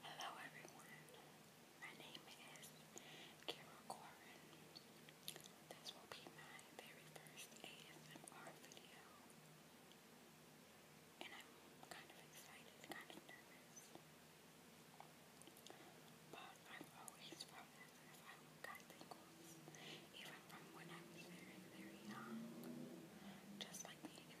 Hello everyone, my name is Kara Corin. This will be my very first ASMR video. And I'm kind of excited, kind of nervous. But I've always felt as if I got tingles, even from when I was very, very young. Just like being in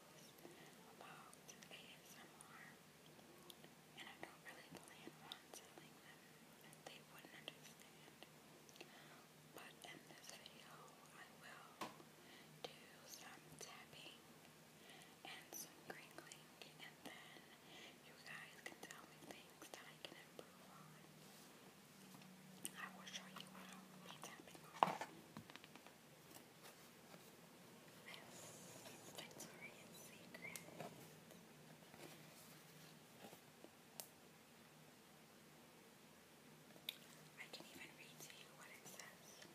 about But in this video, I will do some tapping and some crinkling, and then you guys can tell me things that I can improve on. I will show you what I This Victoria's Secret. I can even read to you what it says.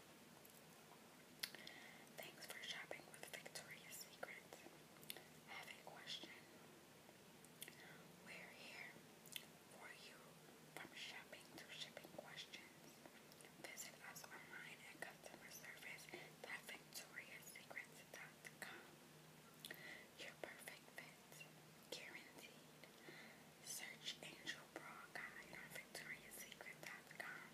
Thanks for shopping with Victoria's Secret. Have a question? We're here for you from shopping to shipping questions. Visit us online at customer service at victoriasecrets.com. Your perfect fit, guaranteed. Search Angel Bra Guide on victoriasecret.com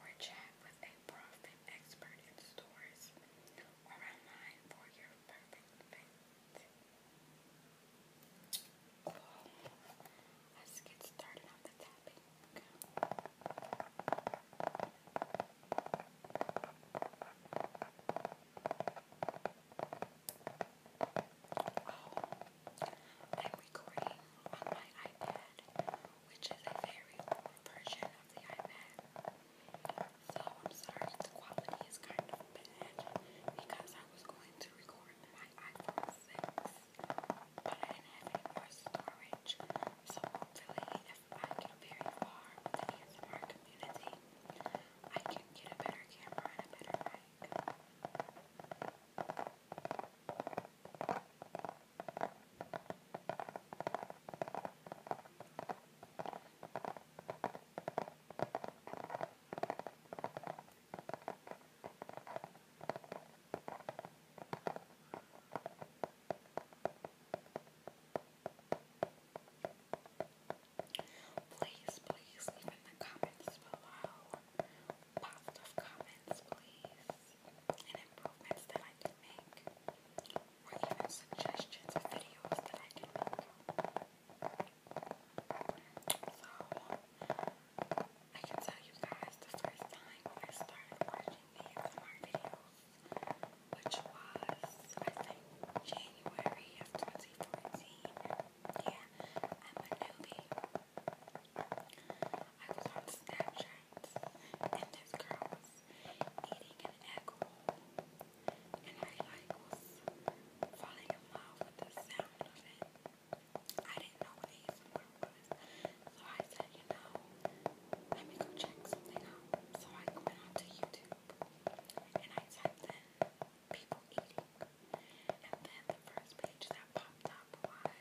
or chat with a bra fit expert in stores or online for your perfect fit. Let's get started on the tapping. Oh, I'm recording on my iPad, which is a very old version of the iPad. So I'm sorry the quality is kind of bad because I was going to record my iPhone 6, but I didn't have any more storage. So hopefully, I get very far with the ASMR community, I can get a better camera and a better mic. Please, please leave in the comments below positive comments, please, improvements that I can make, or even suggestions of videos that I can make. I can tell you guys the first time I started watching these videos, which was I think January of 2014. Yeah, I'm a newbie. I was on Snapchat and this girl eating an egg roll and I like was falling in love with the sound of it. I didn't know what ASMR was, so I said, you know, let me go check something out. So I went onto YouTube and I typed in people eating, and then the first page that popped up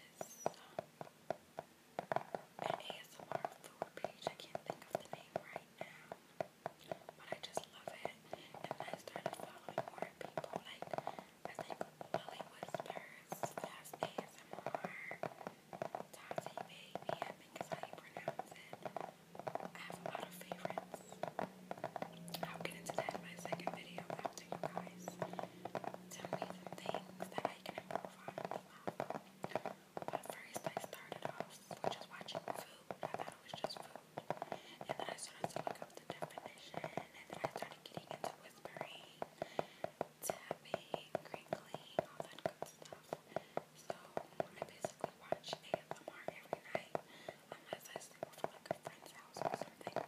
was um, an ASMR food page. I can't think of the name right now. But I just love it. And I started following more people, like I think Lily Whispers, Fast ASMR, Tati Baby, think is how you pronounce it. I have a lot of favorites. I'll get into that in my second video after you guys tell me some things that I can improve on But first I started off just watching food. I thought it was just food. And then I started to up the definition, and then I started getting into whispering, tapping, crinkling, all that good stuff. So I basically watch ASMR every night, unless I sleep over like a friend's house or something.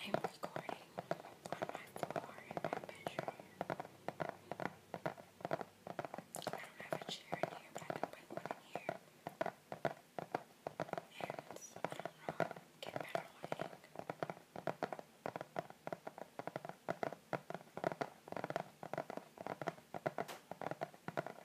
I'm recording on my floor in my bedroom. I don't have a chair in here, but I can put one in here. And I don't know, get better lighting. I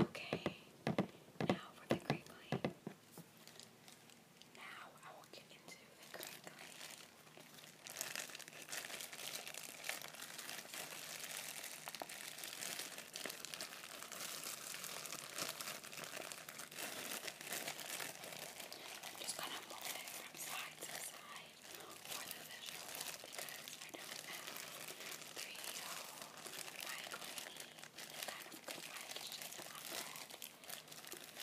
Okay, now for the crinkling. Now I will get into the crinkling. I'm just gonna move it from side to side for the visuals because I don't have 3D whole mic on me. This kind of good mic is just not bad. I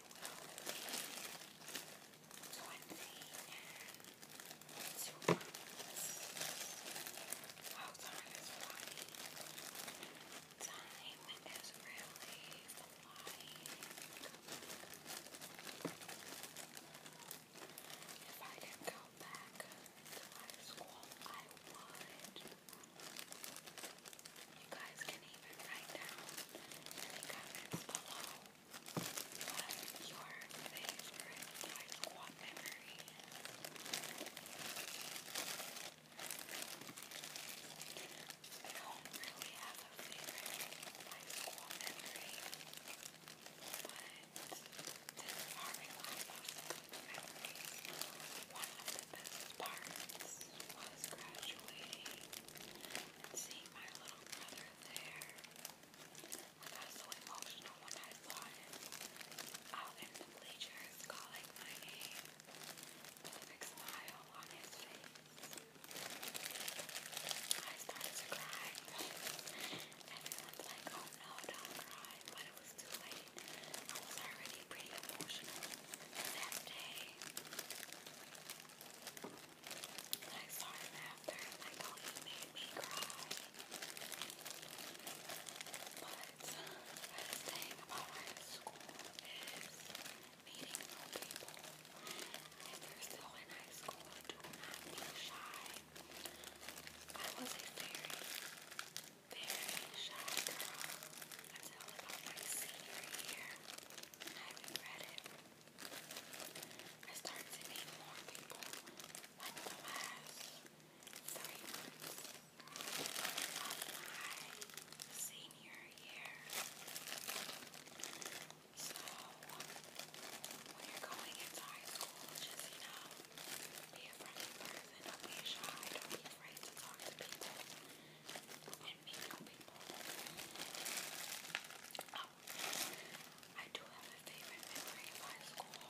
will be 22 months. How time is flying. Time is really flying. If I could go back to high school, I would. You guys can even write down in comments below what your favorite high school memory I don't really have a favorite high school memory, but this very last of memories, one of the best was graduating and seeing my little brother there, I got so emotional when I saw him out oh, in the bleachers calling my name, with smile on his face. I started to cry. Everyone's like, oh no, don't cry, but it was too late. I was already pretty emotional that day. And I saw him after, and like, oh, he made me cry. But the best thing about high school is meeting new people. If you're still in high school, do not be shy. I was a very, very shy girl until about my senior and I regret it. I started to meet more people like the last three months of my senior year. So when you're going into school, just you know, be a friendly person, don't be shy, don't be afraid to talk to people and I do have a favorite memory of high school.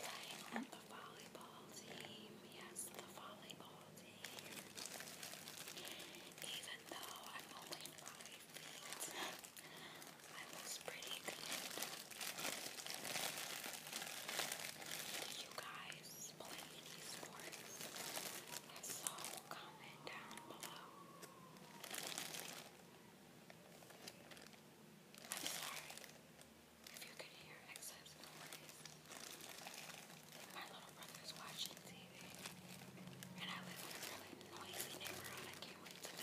Playing on the volleyball team. Yes, the volleyball team. Even though I'm only five feet, I was pretty good. you guys guys play any sports? And so comment down below. I'm sorry if you can hear excess noise. My little brother's watching TV. And I live in a really noisy neighborhood. I can't wait to go.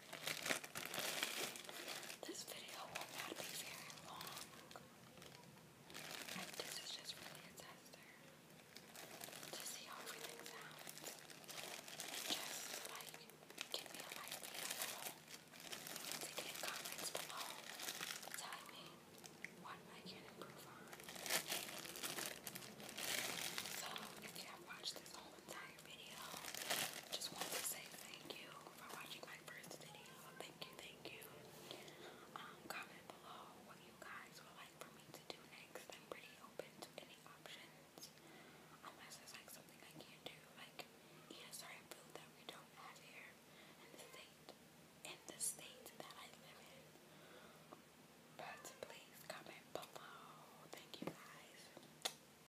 This video will not be very long. Like, this is just really a tester to see how everything sounds. Just like give me a like below to comments below telling me what I can improve on. So if you have watched this whole entire video. Just wanted to say thank you for watching my first video. Thank you, thank you. Um, comment below what you guys would like for me to do next. I'm pretty open to any options. Unless there's like something I can't do, like eat that we don't have here in the state in the state that I live in. But please comment below. Thank you guys.